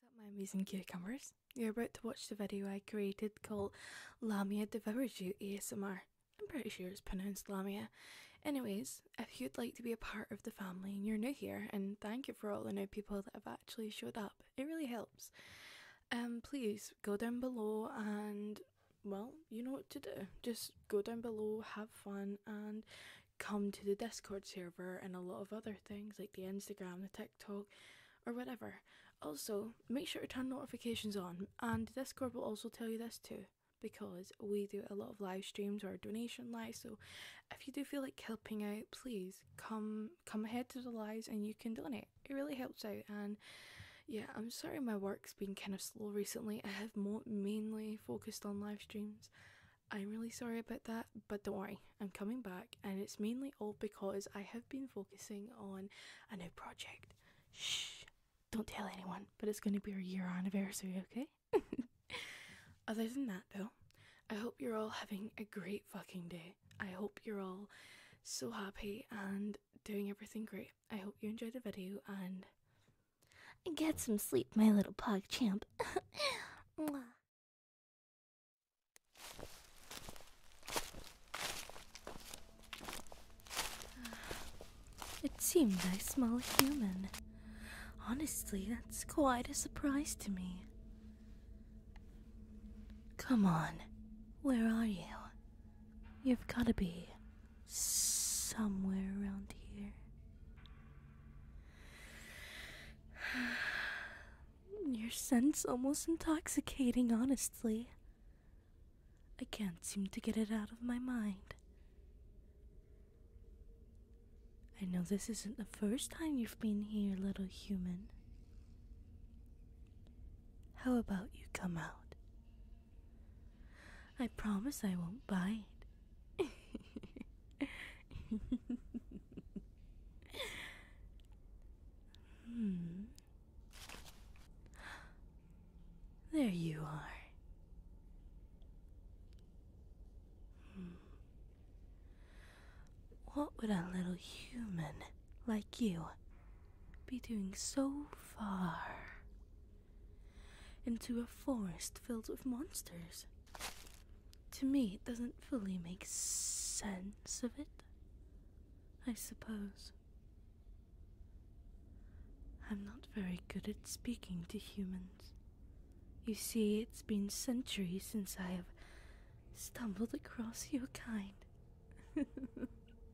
What's up my amazing cucumbers? You're about to watch the video I created called Lamia Devours You ASMR. I'm pretty sure it's pronounced Lamia. Anyways, if you'd like to be a part of the family and you're new here, and thank you for all the new people that have actually showed up, it really helps. And um, please go down below and well, you know what to do. Just go down below, have fun, and come to the Discord server and a lot of other things like the Instagram, the or whatever. Also, make sure to turn notifications on, and Discord will also tell you this too. Because we do a lot of live streams or donation lives, so if you do feel like helping out, please come come ahead to the lives and you can donate. It really helps out, and yeah, I'm sorry my work's been kind of slow recently. I have more mainly focused on live streams, I'm really sorry about that, but don't worry, I'm coming back, and it's mainly all because I have been focusing on a new project. Shh, don't tell anyone, but it's going to be our year anniversary, okay? Other than that, though, I hope you're all having a great fucking day. I hope you're all so happy and doing everything great. I hope you enjoyed the video and get some sleep, my little pug champ. It seems I smell human. Honestly, that's quite a surprise to me. Come on, where are you? You've got to be somewhere around here. Your scent's almost intoxicating, honestly. I can't seem to get it out of my mind. I know this isn't the first time you've been here, little human. How about you come out? I promise I won't bite. Hmm. There you are. Hmm. What would a little human like you be doing so far into a forest filled with monsters? to me it doesn't fully make sense of it, I suppose. I'm not very good at speaking to humans. You see, it's been centuries since I have stumbled across your kind.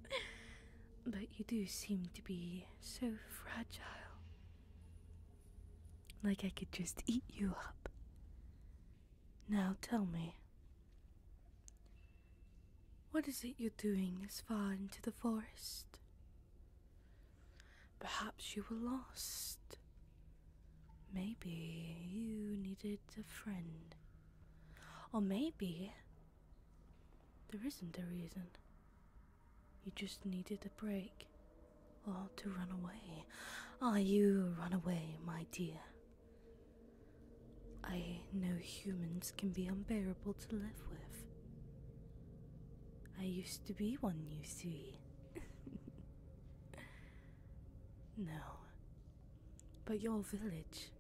but you do seem to be so fragile. Like I could just eat you up. Now tell me, what is it you're doing this far into the forest? Perhaps you were lost. Maybe you needed a friend. Or maybe there isn't a reason. You just needed a break or to run away. Are ah, you run away, my dear? I know humans can be unbearable to live with. I used to be one, you see. no. But your village,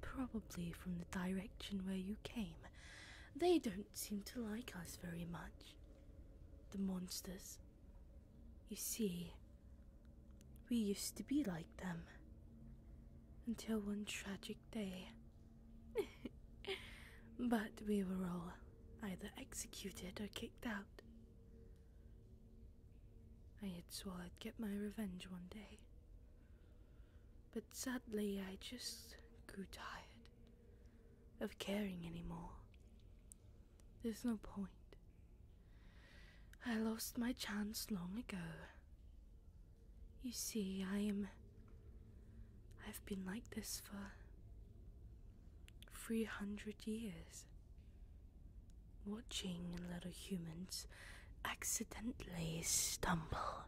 probably from the direction where you came, they don't seem to like us very much. The monsters, you see, we used to be like them. Until one tragic day. but we were all either executed or kicked out. I had swore I'd get my revenge one day. But sadly, I just grew tired of caring anymore. There's no point. I lost my chance long ago. You see, I am. I've been like this for. 300 years. Watching little humans accidentally stumble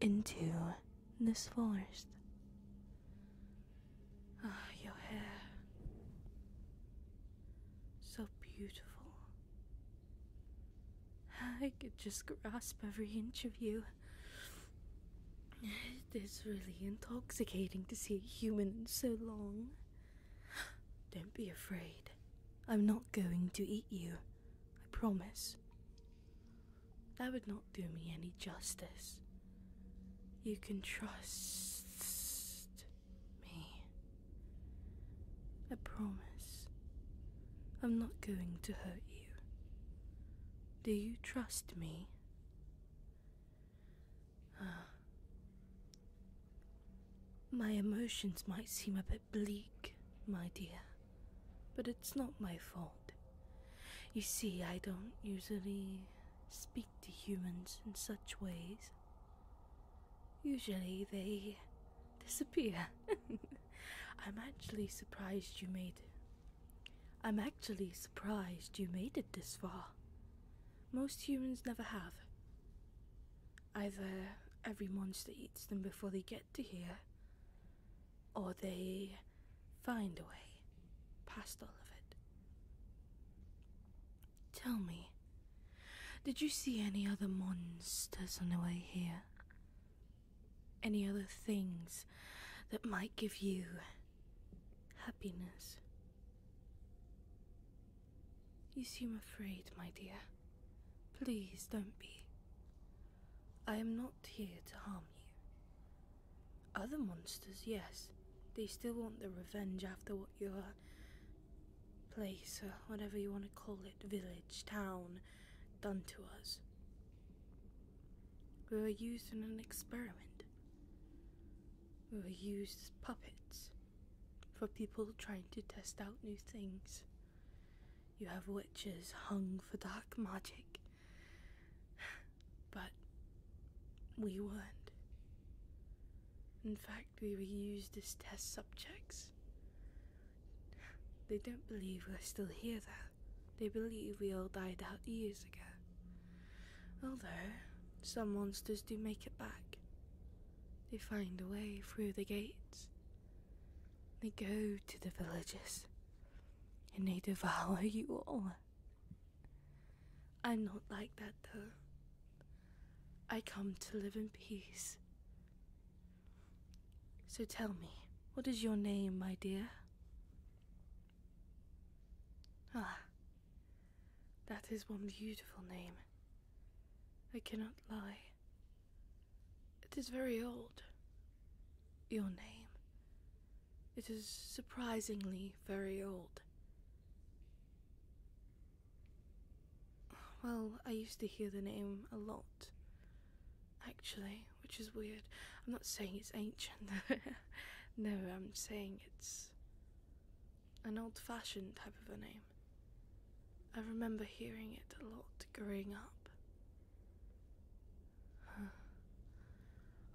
into this forest. Ah, your hair. So beautiful. I could just grasp every inch of you. It is really intoxicating to see a human so long. Don't be afraid. I'm not going to eat you. I promise. That would not do me any justice. You can trust me. I promise I'm not going to hurt you. Do you trust me? Uh, my emotions might seem a bit bleak, my dear, but it's not my fault. You see, I don't usually speak to humans in such ways. Usually they disappear. I'm actually surprised you made it. I'm actually surprised you made it this far. Most humans never have. Either every monster eats them before they get to here, or they find a way past all of it. Tell me, did you see any other monsters on the way here? Any other things that might give you happiness? You seem afraid, my dear. Please don't be. I am not here to harm you. Other monsters, yes. They still want the revenge after what your place, or whatever you want to call it, village, town, done to us. We were used in an experiment. We were used as puppets for people trying to test out new things. You have witches hung for dark magic but we weren't. In fact, we were used as test subjects. They don't believe we're still here, though. They believe we all died out years ago. Although, some monsters do make it back. They find a way through the gates. They go to the villages, and they devour you all. I'm not like that though. I come to live in peace. So tell me, what is your name, my dear? Ah, that is one beautiful name. I cannot lie. It is very old. Your name. It is surprisingly very old. Well, I used to hear the name a lot, actually, which is weird. I'm not saying it's ancient. no, I'm saying it's an old fashioned type of a name. I remember hearing it a lot growing up.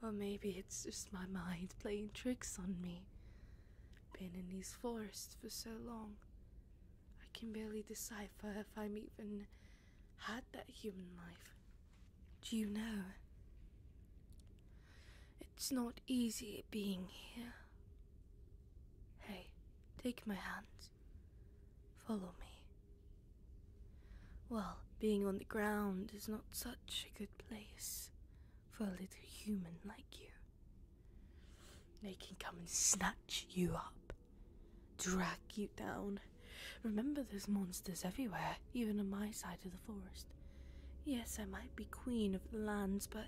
Or maybe it's just my mind playing tricks on me. Been in these forests for so long, I can barely decipher if I'm even had that human life. Do you know? It's not easy being here. Hey, take my hand. Follow me. Well, being on the ground is not such a good place for a little human like you. They can come and snatch you up, drag you down. Remember, there's monsters everywhere, even on my side of the forest. Yes, I might be queen of the lands, but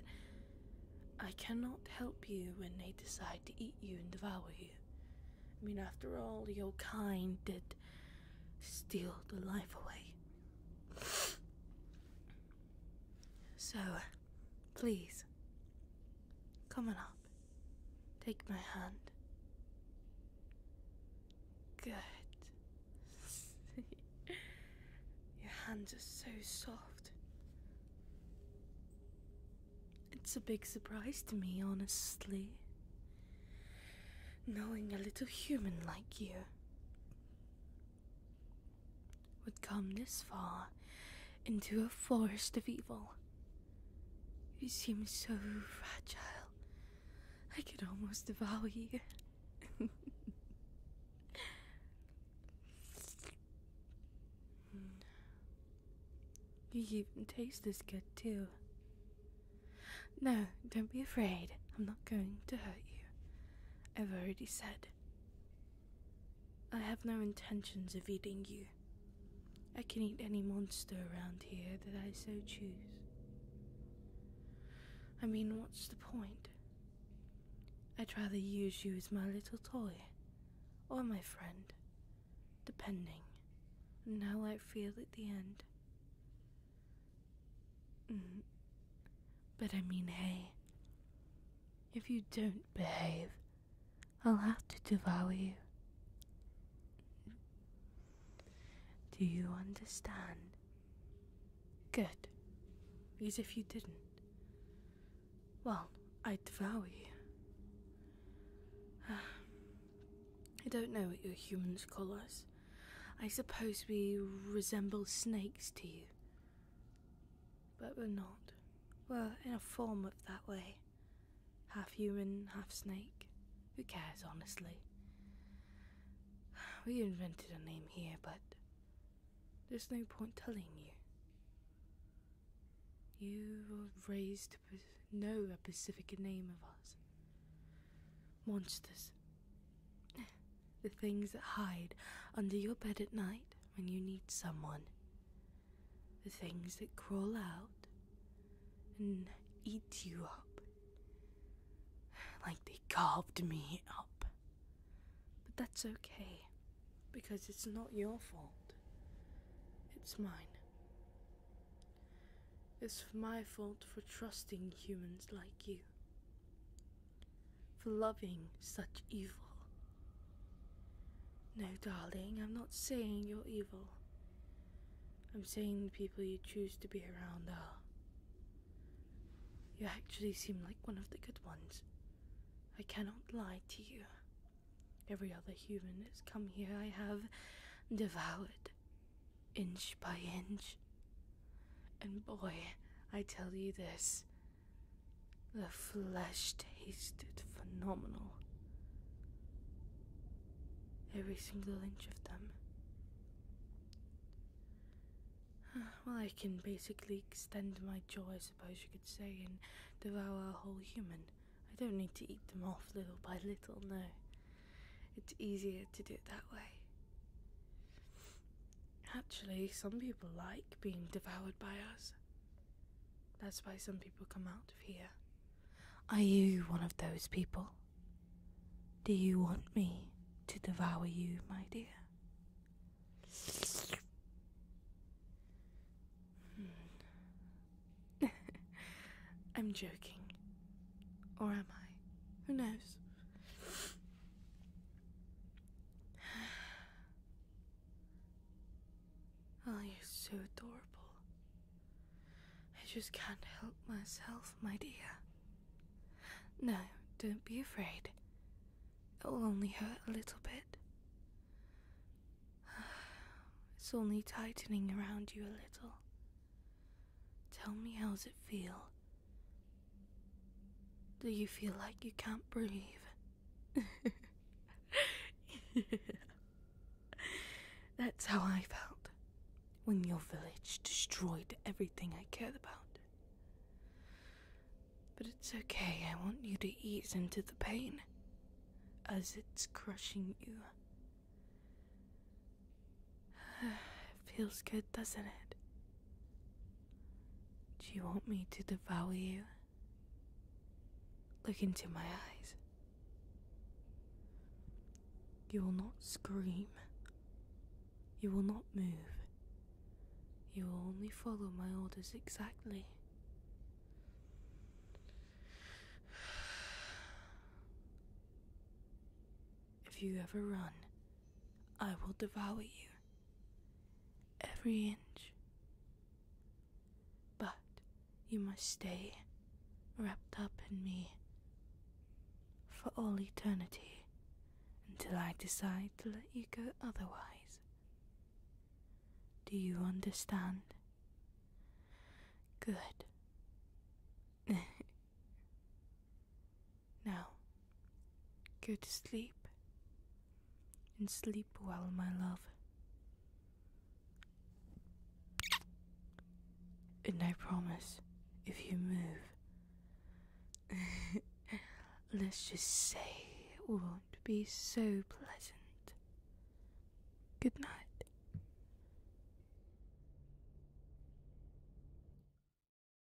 I cannot help you when they decide to eat you and devour you. I mean, after all, your kind did steal the life away so, please, come on up. Take my hand. Good. Your hands are so soft. It's a big surprise to me, honestly. Knowing a little human like you would come this far into a forest of evil. You seem so fragile. I could almost devour you. you even taste as good, too. No, don't be afraid. I'm not going to hurt you. I've already said. I have no intentions of eating you. I can eat any monster around here that I so choose. I mean, what's the point? I'd rather use you as my little toy, or my friend, depending on how I feel at the end. But I mean, hey, if you don't behave, I'll have to devour you. Do you understand? Good. Because if you didn't, well, I'd devour you. I don't know what your humans call us. I suppose we resemble snakes to you. But we're not. We're in a form of that way. Half human, half snake. Who cares, honestly? We invented a name here, but there's no point telling you. You were raised to know a specific name of us. Monsters, the things that hide under your bed at night when you need someone. The things that crawl out and eat you up. Like they carved me up. But that's okay, because it's not your fault. It's mine. It's my fault for trusting humans like you for loving such evil. No, darling, I'm not saying you're evil. I'm saying the people you choose to be around are. You actually seem like one of the good ones. I cannot lie to you. Every other human that's come here I have devoured, inch by inch, and boy, I tell you this the flesh tasted phenomenal. Every single inch of them. Well, I can basically extend my jaw, I suppose you could say, and devour a whole human. I don't need to eat them off little by little, no. It's easier to do it that way. Actually, some people like being devoured by us. That's why some people come out of here. Are you one of those people? Do you want me to devour you, my dear? Hmm. I'm joking. Or am I? Who knows? Oh, you're so adorable. I just can't help myself, my dear. No, don't be afraid. It'll only hurt a little bit. It's only tightening around you a little. Tell me how does it feel do you feel like you can't breathe? That's how I felt when your village destroyed everything I cared about. But it's okay, I want you to ease into the pain as it's crushing you. it feels good, doesn't it? Do you want me to devour you? Look into my eyes. You will not scream. You will not move. You will only follow my orders exactly. If you ever run, I will devour you every inch. But you must stay wrapped up in me for all eternity until I decide to let you go otherwise. Do you understand? Good. Now, go to sleep. And sleep well, my love. And I promise, if you move, let's just say it won't be so pleasant. Good night.